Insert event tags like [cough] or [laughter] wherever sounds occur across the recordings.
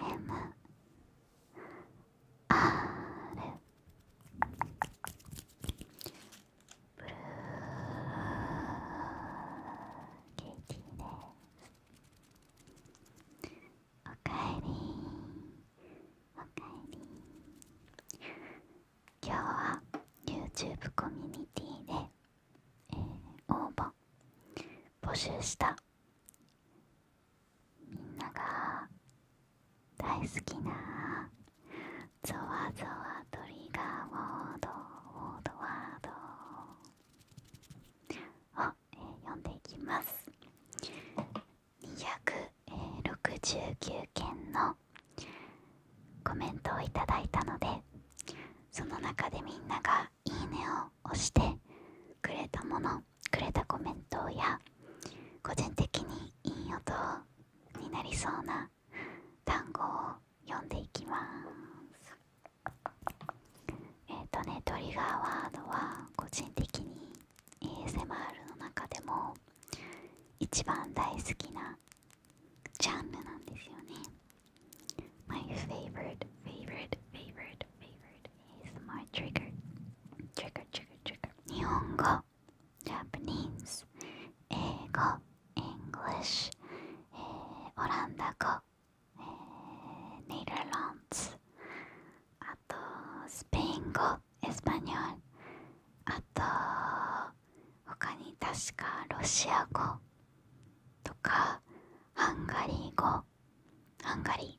M。R。で。おかえりおかえり今日は YouTube コミュニティで、えー、応募募集したみんなが大好きなゾワゾワトリガーワードワードワードを、読んでいきます269件のコメントをいただいたのでその中でみんなが「いいね」を押してくれたものくれたコメントや個人的にいい音になりそうな単語を読んでいきますえっ、ー、とねトリガーワードは個人的に ASMR の中でも一番大好きなジャンルなんですよね My favorite favorite favorite favorite is my trigger. Trigger, trigger, trigger. Nihongo, Japanese, Ego, English, eh, Orandago, eh, Netherlands, ato Spain go, Espanol, ato 他に確かロシア語とかハンガリー語ハンガリー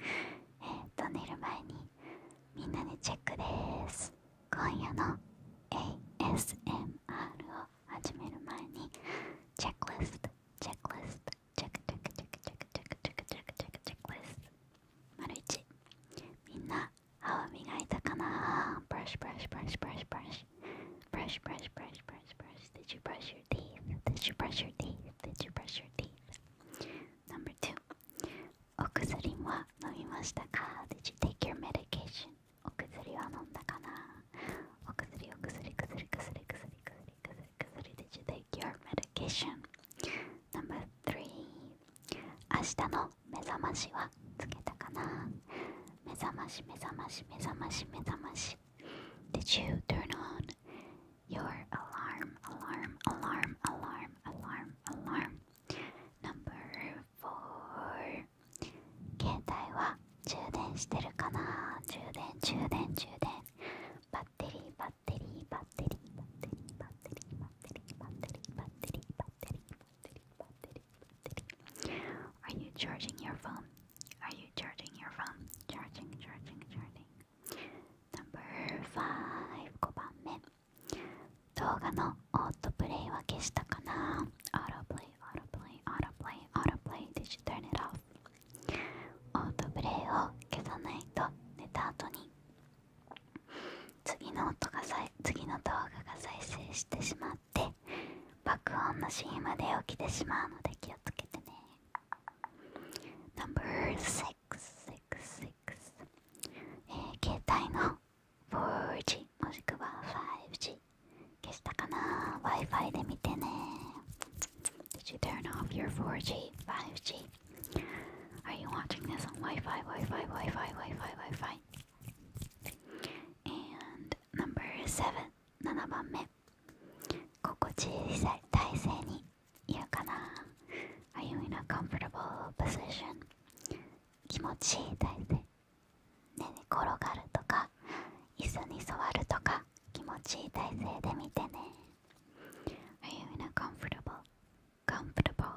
えー、っと寝る前にみんなでチェックです今夜の ASMR を始める前にチェックリストチェックリストチェックチェックチェックチェックチェックチェックチェックチェックチェックリスト丸一みんな歯を磨いたかなブラシブラシブラシブラシブラシブラシブラシブラシブラシブラシ Did you brush your teeth? Did you brush your teeth? Did you brush your teeth? Number two. お薬は飲みましたか ?Did you take your medication? お薬は飲んだかなお薬、お薬、薬、薬、薬、薬、薬、薬、Did you take your medication? Number three. 明日の目覚ましはつけたかな目覚まし、目覚まし、目覚まし、目覚まし。Did you turn on your alarm, alarm, alarm, alarm, alarm, alarm. Number four. 携帯は充電してるかな充電充電充電バッテリーバッテリーバッテリーバッテリーバッテリーバッテリーバッテリーバッテリーバッテリーバッテリーバッテリーバッテリー Are you charging your phone? Are you charging your phone? Charging charging charging 5番目動画のオートプレイは消したかな Autoplay, autoplay, autoplay, a u t o p l オートプレイを消さないと寝た後に次の音が動画が再生してしまって爆音のシーンまで起きてしまうので気をつけてね Number 6 6、えー、携帯の 4G もしくは 5G 消したかな ?Wi-Fi で見てね。Did you turn off your 4G, 5G? Are you watching this on Wi-Fi, Wi-Fi, Wi-Fi, Wi-Fi, Wi-Fi? And number 7、7番目。心地いい体勢にいるかな ?Are you in a comfortable position? 気持ちいい体勢。寝転がるとか、椅子に座るとか、気持ちいい体勢で見てね。Are you in a comfortable, comfortable,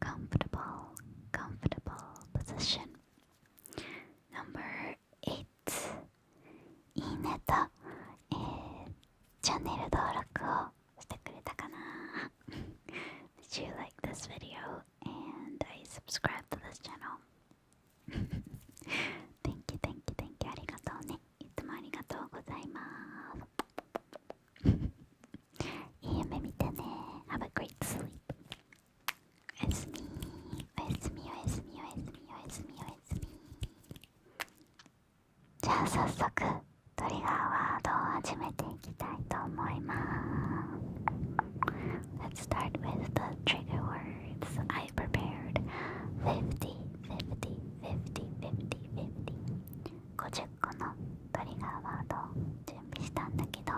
comfortable, comfortable position? Number 8いいネタえー、チャンネル登録をしてくれたかな Did you like this video and I subscribe to this channel? thank you, thank you, thank you. ありがとうね。いつもありがとうございます。いい夢見てね。Have a great sleep. おやすみ。おやすみ、おやすみ、おやすみ、おやすみ、おやすみ。じゃあ早速トリガーワードを始めていきたいと思います Let's start with the trigger words I prepared 50 50 50 50 50 50個のトリガーワードを準備したんだけど、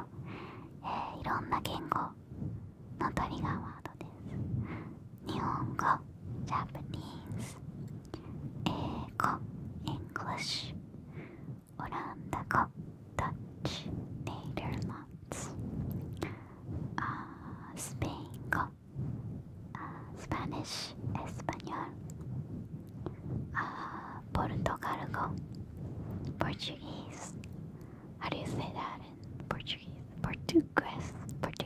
えー、いろんな言語のトリガーワードで…日本語 Japanese 英語 English オランダ語 Dutch Netherlands スペイン語 Spanish Espanol ポルトガル語 Portuguese How do you say that in Portuguese? Portuguese,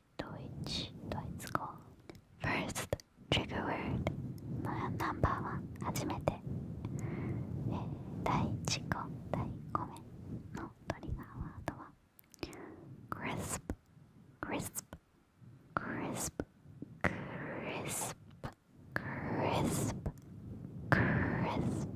Deutsch, Deutsch go. First trigger word. まあナンバーワン初めて、えー、第1個第5名のトリガーワードは crisp crisp crisp crisp crisp crisp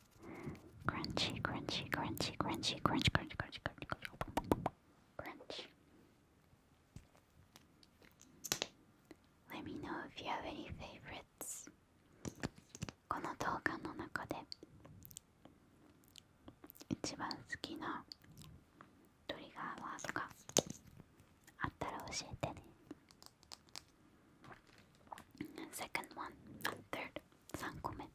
Crunchy, crunchy, crunchy, crunchy, crunch, crunch, crunch, crunch, crunch, crunch. Let me know if you have any favorites. この動画の中で一番好きなトリガーワードがあったら教えてね。Second one, third, 3個目。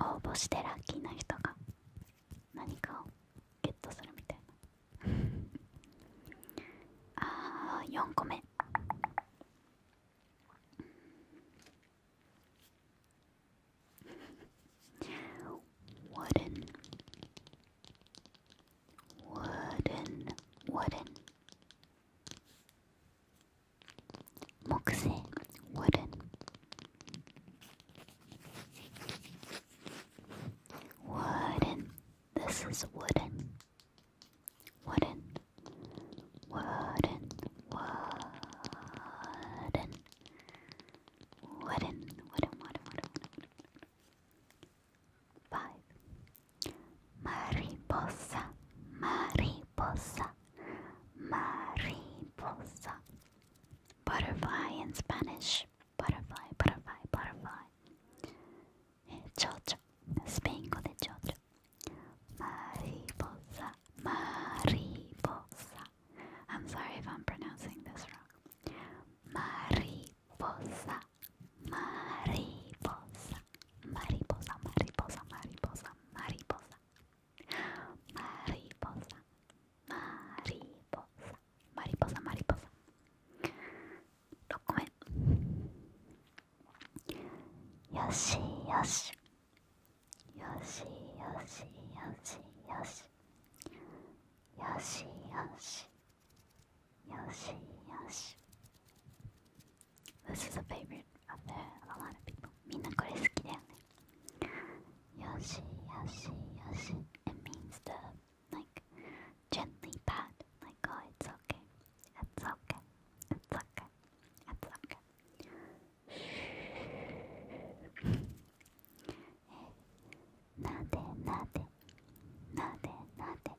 応募してラッキーな人が何かをゲットするみたいな [laughs] ああ、4個目ワレン wooden, wooden. Moxie, wooden. Wooden. This is wooden. Wooden. Wooden. Wooden. Wooden. Wooden. Wooden. Wooden. Wooden five. Mariposa, mariposa, mariposa. Butterfly in Spanish. Butterfly, butterfly, butterfly. Chocho, Spango de chocho. Mariposa, mariposa. I'm sorry if I'm pronouncing this wrong. Mariposa, mariposa, mariposa, mariposa, mariposa, mariposa, mariposa, mariposa, mariposa, mariposa. Look at Yoshi, Yoshi, Yoshi, Yoshi, Yoshi, Yoshi, Yoshi, Yoshi. Yoshi, Yoshi. This is a favorite of a lot of people. Mina Yoshi, Yoshi, Yoshi. It means the like gently pat, like oh it's okay. It's okay. It's okay. It's okay. Nade, nade, nade, nade,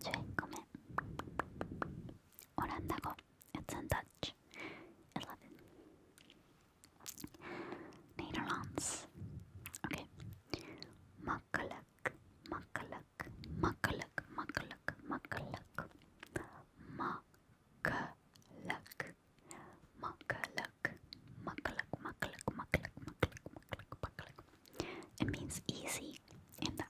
주인공은 오란다고 It's in Dutch. 11. Netherlands. Okay. Makkelijk, makkelijk, makkelijk, makkelijk, makkelijk. Makkelijk. Makkelijk, makkelijk, makkelijk, makkelijk, makkelijk, makkelijk. It means easy in the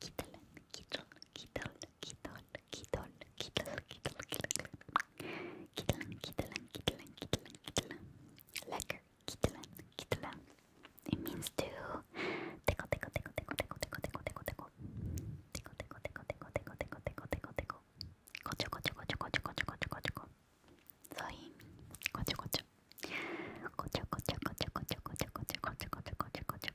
Kitol, kitol, kitol, kitol, kitol, kitol, kitol, kitol, kitol, kitol, kitol, kitol, kitol, lekker, kitol, kitol. It means to tickle, tickle, tickle, tickle, tickle, tickle, tickle, tickle, tickle, tickle, tickle, tickle, tickle, tickle, tickle, tickle, tickle, tickle, gotcha, gotcha, gotcha, gotcha, gotcha, gotcha, gotcha. So he gotcha, gotcha, gotcha, gotcha, gotcha, gotcha, gotcha, gotcha, gotcha, gotcha, gotcha,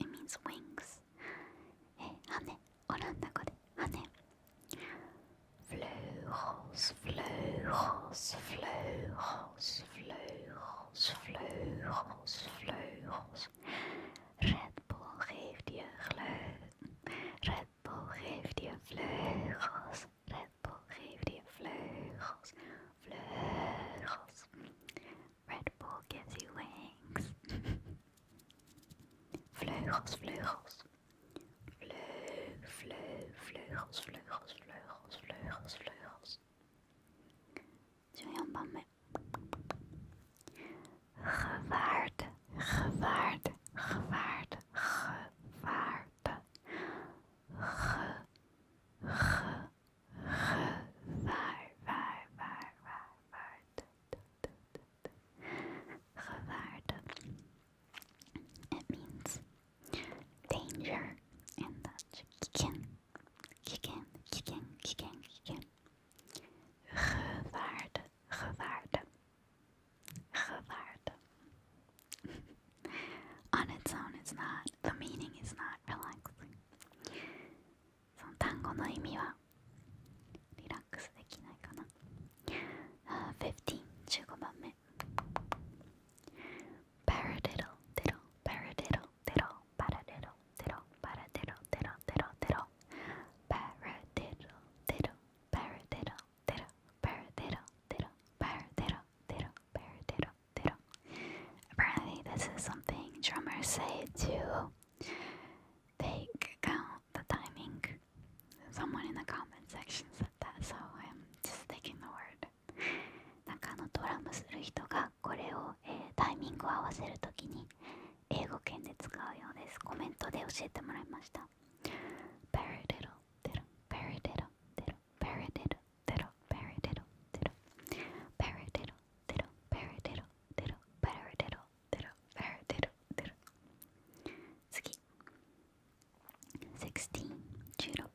It means wings. Eh, hane, Orandago de hane. Vleugels, vleugels, vleugels, vleugels, vleugels, vleugels. Red Bull geeft je gleugels. Red Bull geeft je vleugels. Red Bull geeft je vleugels. Vleugels. Red Bull gives you wings. vleugels, vleugels. Vleu, vleu, vleugels, vleugels, vleugels, vleugels, vleugels. Zo mee. gevaard, gevaard, gewaarde, Ge, ge, gevaar, It means danger, and that's kicken, kicken, kicken, On its own, it's not. The meaning is not relaxing. その単語の意味はリラックスできないかなあ15 15番目 paradiddle diddle paradiddle diddle paradiddle diddle paradiddle diddle diddle diddle paradiddle diddle paradiddle diddle paradiddle diddle paradiddle diddle paradiddle Tero. Apparently, this is something drummers say to take account the timing. Someone in the comment section said that, so I'm just taking the word. なんかあのドラムする人がこれを、えー、タイミングを合わせるときに英語圏で使うようです。コメントで教えてもらいました。パラデロデロパラデロデロパラデロデロパラデロデロパラデロ eh, diddle, paradiddle, diddle, paradiddle, diddle, paradiddle, diddle. 次16、16、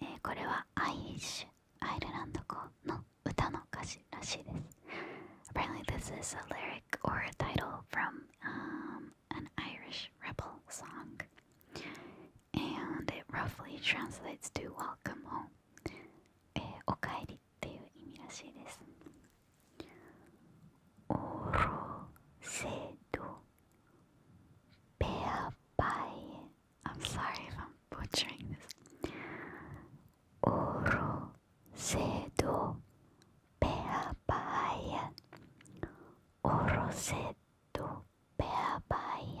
えー、これはアイリッシュ、アイルランド語の歌の歌詞らしいです。Apparently, eh, this is a lyric or a title from um, an Irish rebel song, and it roughly translates to Welcome Home. えおかえりっていう意味らしいですオロセドペアバイ I'm sorry if I'm butchering this オロセドペアバイオロセドペアバイ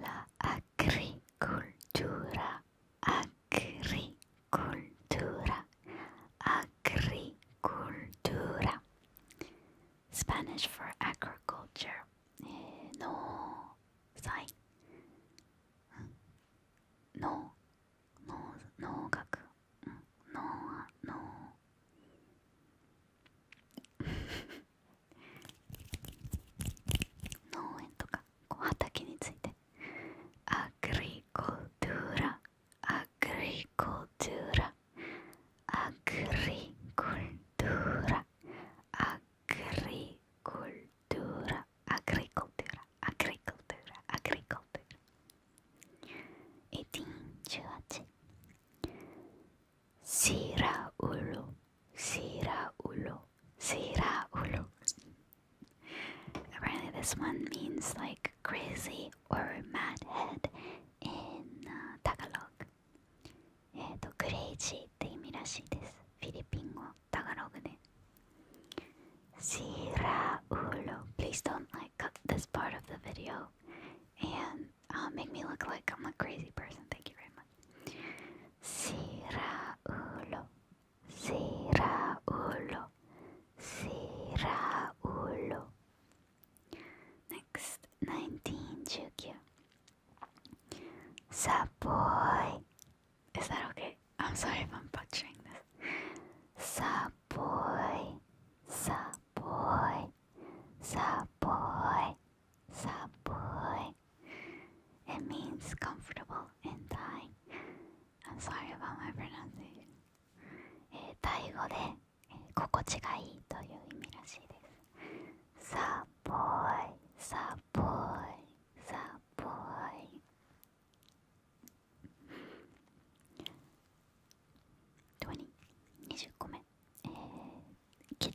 La agricultura, agricultura, agricultura. Spanish for agriculture. Eh, no, sai. No, no, no, gaku. No, no. [laughs] 農園とかこう畑についてアグリコトゥーラアグリコトゥーラアグリコトゥーラアグリコトゥーラアグリコトゥーラアグリコトゥーラアグリコトゥーラ18 Si Sira ulo, ra ulo, sira ulo. Apparently, this one means like crazy or mad head in uh, Tagalog. えっと、クレイジーって意味らしいです。フィリピン語、タガログで。Sira ulo. Please don't like cut this part of the video and uh, make me look like I'm a crazy person. Thank you very much. Siraulo, Siraulo, Siraulo. Next, 19, Jukyu. Saboy. Is that okay? I'm sorry if I'm butchering this. Saboy, Saboy, Saboy, Saboy. time. It means comfortable in time. I'm sorry about my pronunciation. えー、タイ語で、えー、心地がいいという意味らしいです。さっぽい、さっぽい、さっぽい。20個目、えー、キッ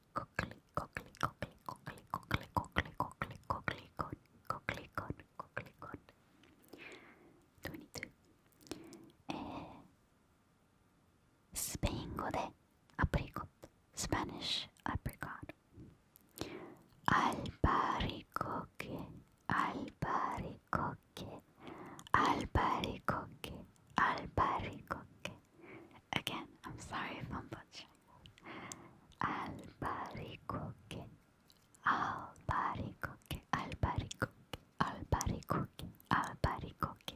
えー、スペイン語でアプリコット、スペニッシュアプリコット。アルバリコケ、アルバリコケ、アルバリコケ、アルバリコケ。Again, I'm sorry if i Albaricoque, albaricoque, albaricoque, albaricoque, albaricoque,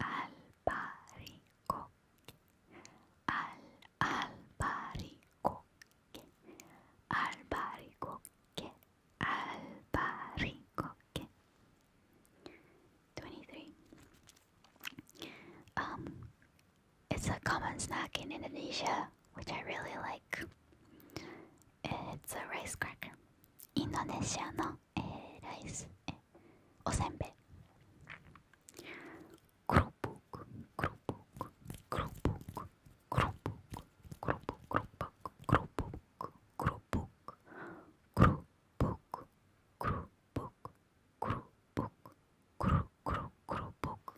albaricoque, al albaricoque, albaricoque, albaricoque, albaricoque, 23. Um, it's a common snack in Indonesia, which I really like. It's a rice cracker. Indonesia no eh, rice eh, osenbe. Krupuk, krupuk, krupuk, krupuk, krupuk, krupuk, krupuk, krupuk, krupuk, book, book, book, book, book, book, book.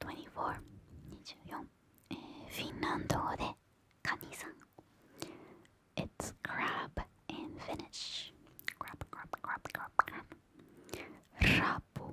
24 24、えー、フィンランド語でカニさん It's crab in Finnish crab crab crab crab crab ラポ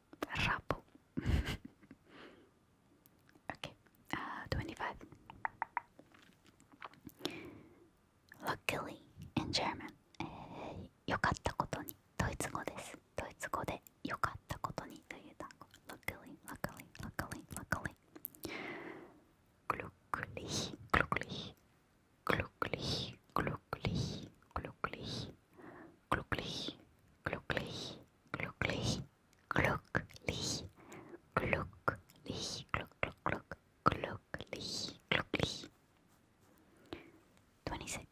Rabu. [laughs] okay, uh, 25. Luckily in German. えー、よかったことに。ドイツ語です。ドイツ語でよかったことにという単語。Luckily, eh, luckily, luckily, luckily. Glücklich, glücklich, glücklich, glücklich, glücklich glucklich, glucklich, glucklich, glucklich, glucklich, gluck, gluck, gluck, glucklich, glucklich. Twenty-six.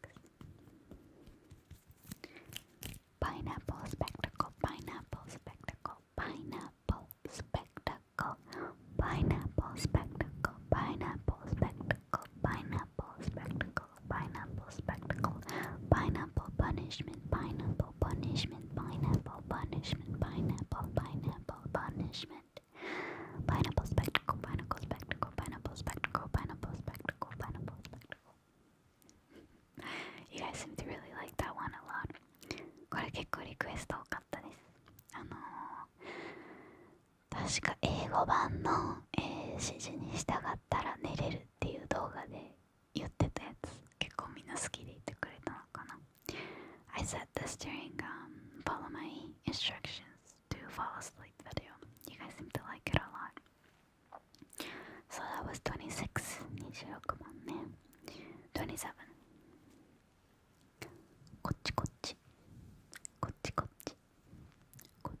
Pineapple spectacle, pineapple spectacle, pineapple spectacle, pineapple spectacle, pineapple spectacle pineapple, spectacle, pineapple, spectacle, pineapple punishment, pineapple punishment, pineapple punishment, pineapple, pineapple punishment, pineapple spectacle, pineapple spectacle, pineapple spectacle, pineapple spectacle, pineapple spectacle. [laughs] You guys seem to really like that one a lot. これ結構リクエスト多かったです。あのー、確か英語版の、えー、指示に従ったら寝れるっていう動画で言ってたやつ結構みんな好きで言ってくれたのかな I said this during、um, follow my instructions to fall asleep video you guys seem to like it a lot so that was 26 26万ね27こっちこっちこっちこっちこっ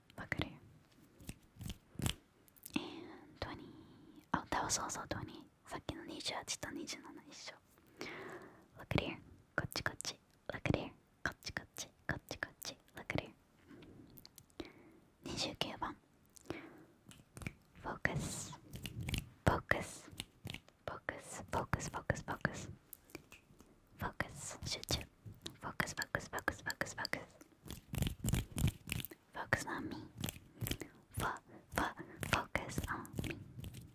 Look at here. And 20. Oh, that was also 20. さっきの28と27一緒。Look at here. こっちこっち。Look at here. こっちこっち。こっちこっち。Look at here. 29番。Focus. Focus. Focus. Focus. Focus. Focus. Focus 集中 Focus Focus Focus Focus Focus Focus on me Fo Fo Focus on me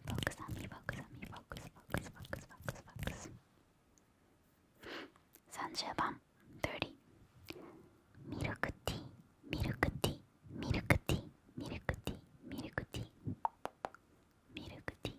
Focus on me Focus on me Focus Focus Focus Focus Focus 30番30ミルクティーミルクティーミルクティーミルクティーミルクティーミルクティー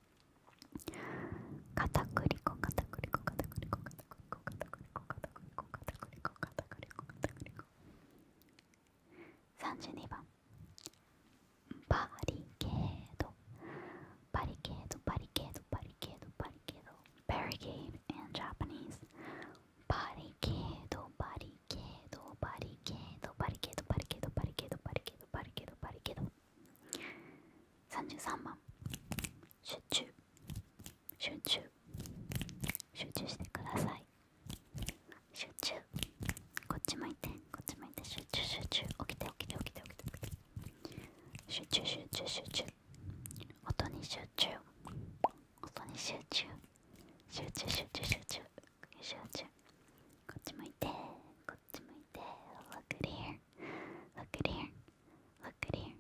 片栗粉片栗粉片栗粉片栗粉片栗粉片栗粉片栗粉片栗粉片栗粉32番バリケードバリケードバリケードバリケードバリケードバリケード in Japanese バリケードバリケードバリケードバリケードバリケードバリケードバリケードバリケードバリケードバリケード33番集中集中集中してください集中こっち向いてこっち向いて集中集中起きて起きて起きて起きて集中集中集中音に集中音に集中集中集中集中集中集中！こっち向いてこっ to my tail. Look at here. Look at here. Look at here.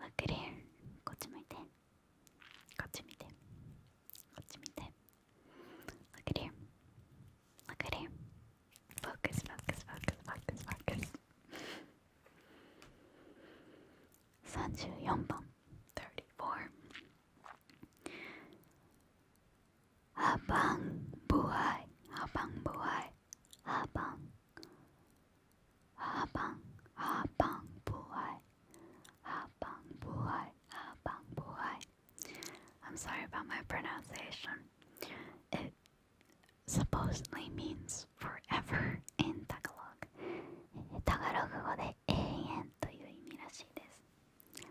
Look at here. Go to my tail. Go to my tail. Go to my tail. Look at here. Look at here. Focus, focus, focus, focus, focus. 34番34 habang buhay habang buhay habang habang habang buhay habang buhay habang buhay I'm sorry about my pronunciation it supposedly means forever in Tagalog タガログ語で永遠という意味らしいです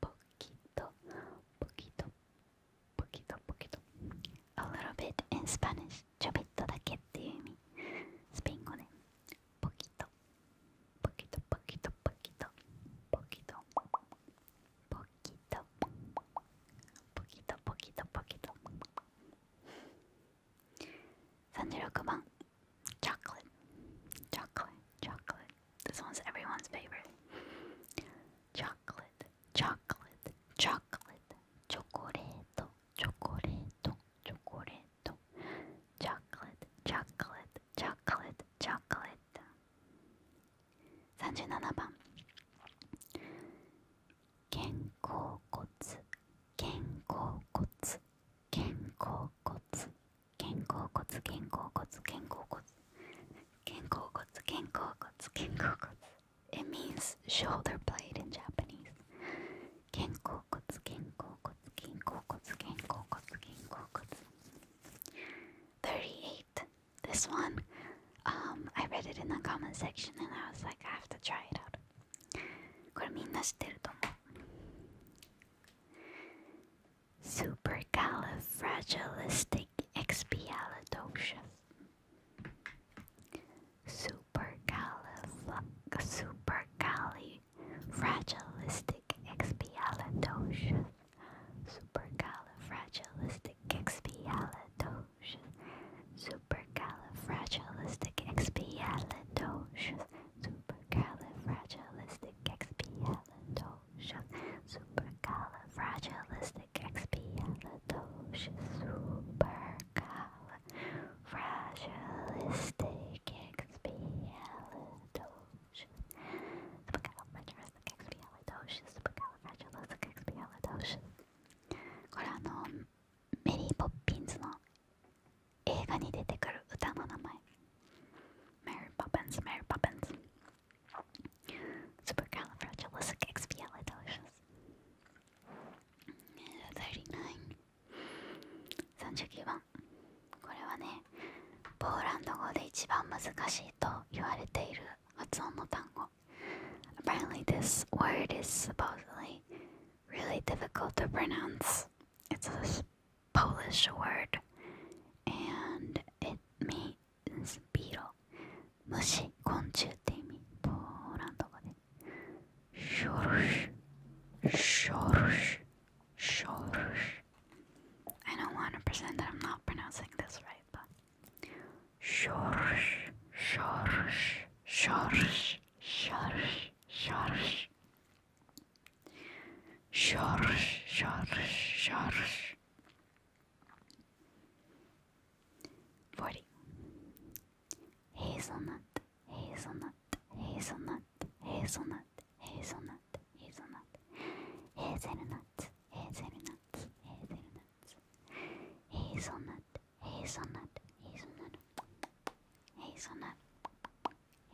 poquito, poquito, poquito, poquito. A little bit in Spanish. ちょびっとだけっていう意味。スペイン語で。poquito, poquito, poquito, poquito, poquito, poquito, poquito, poquito, poquito. 36番。chocolate, chocolate, chocolate. This one's everyone's favorite. Chocolate, chocolate, chocolate, chocoreto, chocoreto, chocoreto. Chocolate, chocolate, chocolate, chocolate. 37番肩甲骨肩甲骨肩甲骨肩甲骨肩甲骨肩甲骨肩甲骨肩甲骨肩甲骨 It means shoulder blade in Japanese 肩甲骨肩甲骨肩甲骨肩甲骨肩甲骨38 This one um, I read it in the comment section and I was like I have to try it out これみんな知ってると思う Supercalifragilisticexpialidocious. Supercalif supercalifragilisticexpialidocious. Supercalifragilisticexpialidocious. Supercalifragilisticexpialidocious. Supercalifragilisticexpialidocious. Supercalifragilisticexpialidocious. Supercalifragilisticexpialidocious. Supercalifragilisticexpialidocious. Supercalifragilisticexpialidocious. これあのメリー・ポッピンズの映画に出てくる歌の名前。メリー・ポッピンズ、メリー・ポッピンズ。Supercalifragilisticexpialidocious. Thirty-nine. 39番これはねポーランド語で一番難しいと言われている発音の単語 Apparently this word is supposedly really difficult to pronounce It's a Polish word and it means beetle. Mushi konchu te imi. Porando go de. Shorush. Shorush. Shorush. I know 100% that I'm not pronouncing this right, but. Shorush. Shorush. Shorush. Shorush. Shorush. Shorush. Shorush. Shorush. 40 hazelnut hazelnut hazelnut hazelnut hazelnut hazelnut hazelnut hazelnut hazelnut hazelnut hazelnut hazelnut hazelnut hazelnut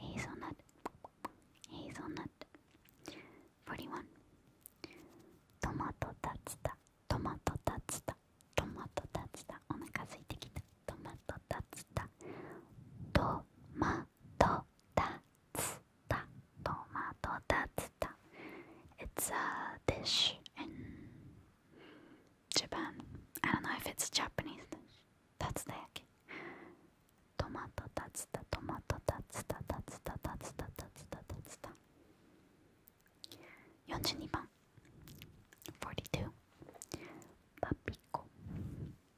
hazelnut 41. Tomato tatsuda, tomato tatsuda, tomato tatsuda. お腹空いてきた。トマト tatsuda. トマト tatsuda, トマト tatsuda. It's a dish in Japan. I don't know if it's Japanese dish. That's the heck. トマトタツタトマトタツタタツタタツタタツタタツタ42番42パピコ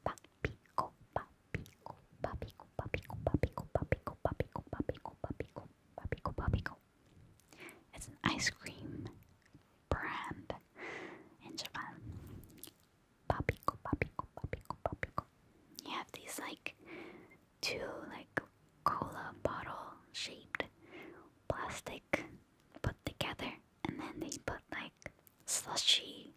パピコパピコパピコパピコパピコパピコパピコパピコパピコパピコパピコ It's an ice cream brand in Japan. Papico, papico, papico, papico. You have these like two like cola bottle shaped plastic put together, and then they put like slushy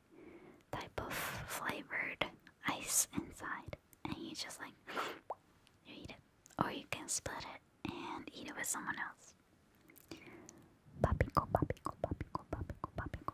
type of flavored ice inside, and you just like [sniffs] you eat it, or you can split it and eat it with someone else. Papico, papico, papico, papico, papico.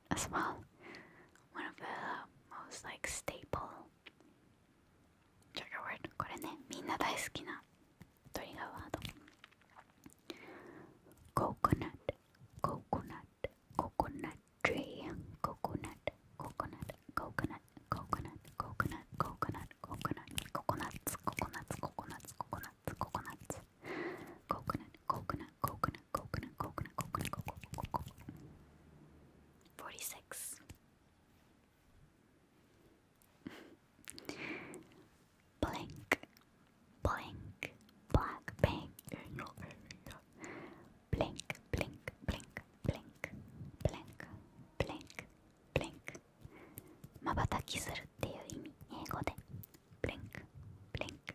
as well. One of the most like staple trigger word. これね、みんな大好きなトリガーワード。Coconut, coconut, coconut tree, coconut, coconut, coconut, coconut, coconut, coconut, coconut, coconuts, coconuts, coconuts, coconuts, coconut, coconut, coconut, coconut, coconut, coconut, coconut, coconut, Forty-six. Blink, blink, black paint in your area. Blink, blink, blink, blink, blink, blink, blink. まばたきするっていう意味英語で blink blink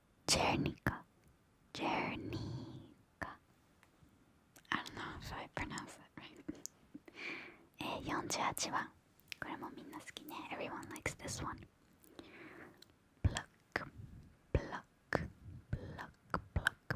Jernica. Jernica. I don't know if I pronounce that right. えー、48番。これもみんな好きね。Everyone likes this one. Pluck, pluck, pluck, pluck,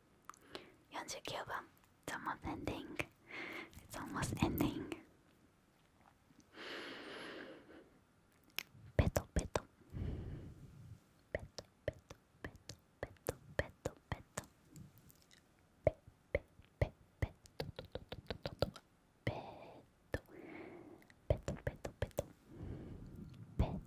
49番「It's almost ending」「It's almost ending」ペトペトペトペトペトペトペトペトペペペペトトトトトトトペトペトペトペトペト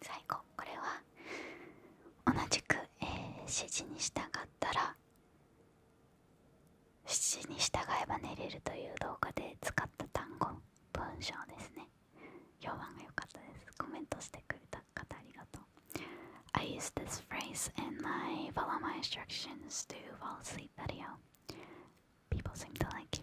最後これは同じく、えー、指示に従ったら指示に従えば寝れるという動画で使った単語文章ですね評判が良かったですコメントしてくれた方ありがとう I use this phrase in my follow my instructions to fall asleep video people seem to like it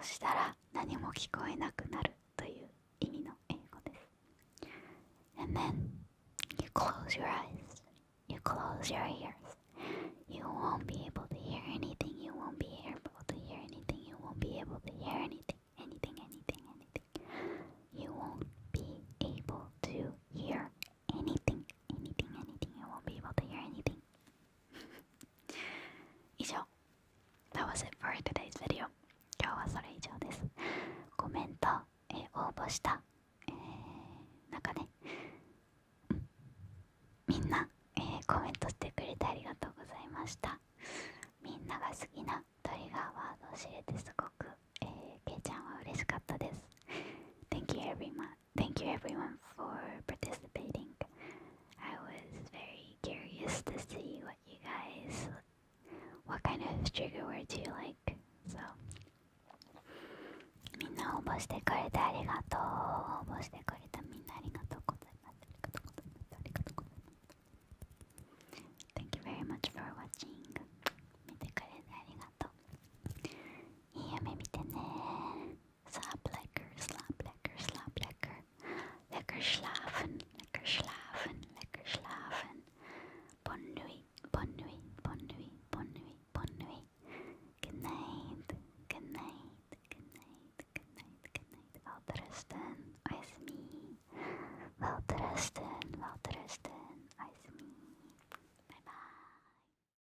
そしたら何も聞こえなくなるという意味の英語です then you close your eyes You close your ears You won't be able to hear anything You won't be able to hear anything You won't be able to hear anything Anything, anything, anything You won't be able to hear anything, anything, anything. You won't be able to h r anything. [laughs] 以上 t h 今日はそれ以上です。コメント、えー、応募した、えー、なんかね、みんな、えー、コメントしてくれてありがとうございました。みんなが好きなトリガーワードを知れてすごく、えー、けいちゃんは嬉しかったです。Thank you v e r y much。thank you everyone for participating. I was very curious to see what you guys, what kind of trigger words you like. So, you very much for watching. Slaap lekker, slaap lekker, slaap lekker. Lekker slapen, lekker slapen, lekker slapen. Bon nuit, bon nuit, bon nuit, bon nuit, bon nuit. Good night, good night, good night, good night, good night. rusten Oesmi. rusten welterusten, me. Bye bye.